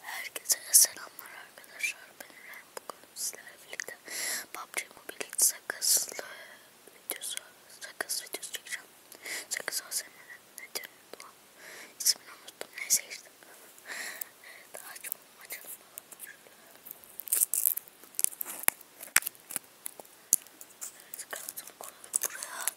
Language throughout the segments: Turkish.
Herkese selamlar arkadaşlar. Ben Eren. Bugün sizlerle birlikte PUBG Mobile sakızlı videosu, sakız videosu çekeceğim. Sakız ASMR. Ne diyorum lan? İsmini unuttum. Neyse işte. Evet, açalım, açalım. Evet, kanalı koyalım buraya.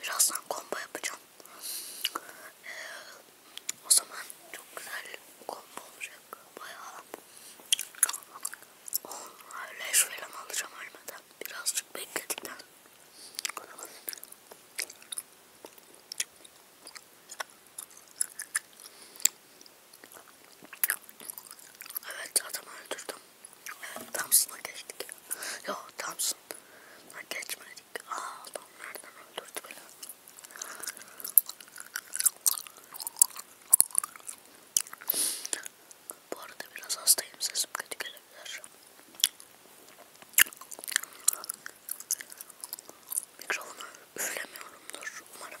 Birazdan combo yapacağım. Ee, o zaman çok güzel combo olacak. Bayağı öyle şöyle alacağım ölmeden. Birazcık bekledikten. Evet adamı öldürdüm. Evet Thompson'a geçtik. Yok Thompson'a geçmedik. Aa adam nereden öldürdü beni. Bu arada biraz hastayım sesim kötü gelebilir. Mikrofonu üflemiyorumdur umarım.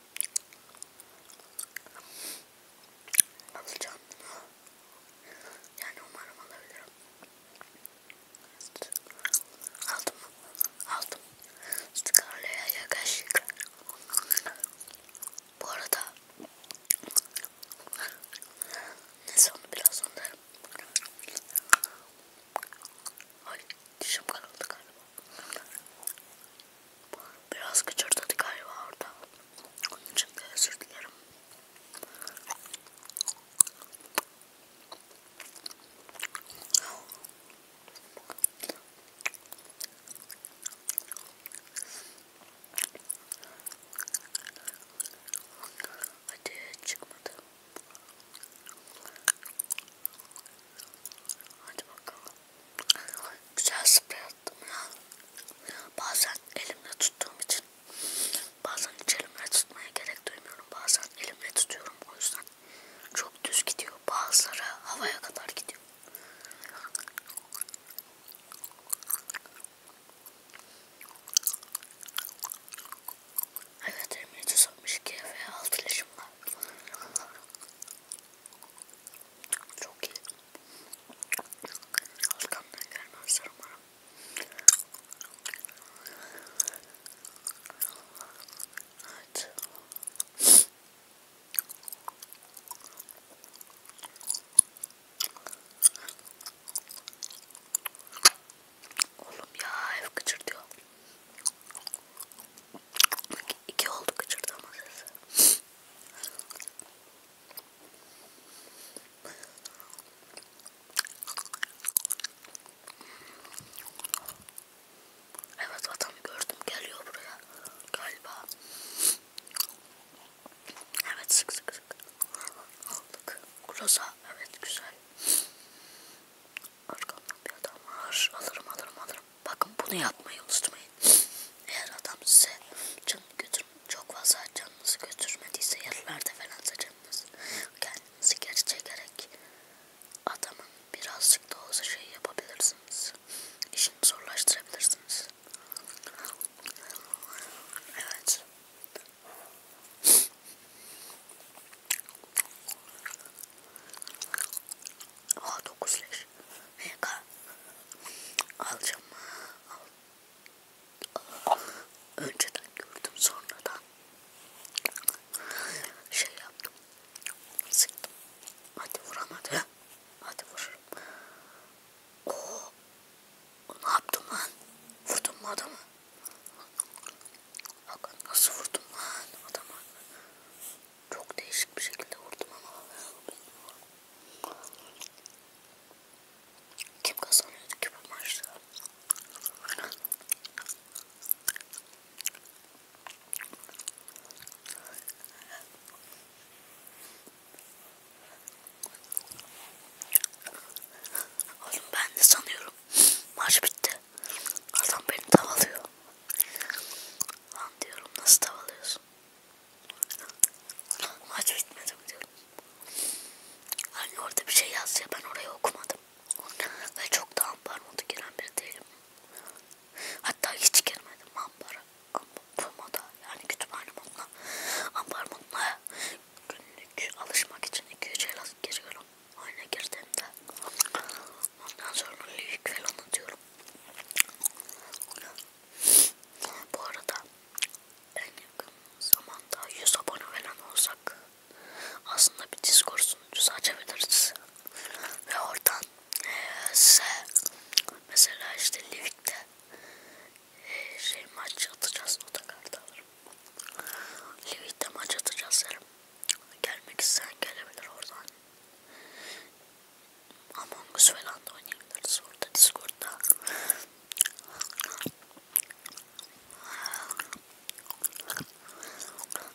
Alacağım bunu. Yani umarım alabilirim. Aldım Aldım. Scarlett'e yakışık. Bu arada neyse onu biraz anlarım. Ay dişim karıldı galiba. Biraz gıcırdadı galiba orada. Onun için de özür dilerim. Hadi çıkmadı. Hadi bakalım. Güzel sprey attım ya. Bazen elimle tuttuğum için bazen hiç elimle tutmaya gerek duymuyorum. Bazen elimle tutuyorum o yüzden. Çok düz gidiyor. Bazıları havaya kadar gidiyor. Evet 762 ve 6 leşim var. Çok iyi. Arkamdan gelmezler umarım. Evet. Oğlum ya ev gıcırdıyor. İki, iki oldu gıcırdama sesi. Evet adam gördüm geliyor buraya galiba. Evet sık sık sık aldık. Groza evet güzel. Arkamdan bir adam var. Alırım alırım alırım. Bakın bunu yapmayı unutmayın. Eğer adam size canını götür çok fazla canınızı götürmediyse yerlerde falan canınız kendinizi geri çekerek adamın birazcık da olsa şey yapabilirsiniz. İşini zorlaştırabilirsiniz. Evet. Aa 9 leş. MK. Alacağım. Al. Önceden gördüm sonradan. Şey yaptım. Sıktım. Hadi vuramadı. Hadi vururum. Oo. Ne yaptım lan? Vurdum mu adamı? Bak nasıl vurdum lan adama. Çok değişik bir şekilde vurdum ama. Kim kazanıyordu ki bu maçta? Oğlum ben de sanıyorum Maç bitti. Adam beni tavalıyor. Lan diyorum nasıl tavalıyorsun? Maç bitmedi mi diyorum. Hani orada bir şey yazdı ya ben orayı okumadım. Ve çok da ambar modu giren biri değilim. Hatta hiç girmedim ambara. Ambar moda yani kütüphane moduna. Ambar moduna günlük alışmak için 2-3 el giriyorum oyuna girdiğimde. Ondan sonra lüyük falan atıyorum. Bu arada en yakın zamanda 100 abone falan olsak aslında bir Discord sunucusu açabiliriz. Ve oradan e, size mesela işte Livik'te şey maç atacağız o da kartı alırım. Levit'te maç atacağız yarım. Gelmek isteyen gelebilir oradan. Among Us falan da oynayabiliriz orada Discord'da.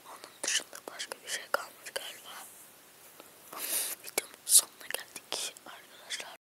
Onun dışında başka bir şey kalmadı galiba. Videomun sonuna geldik arkadaşlar.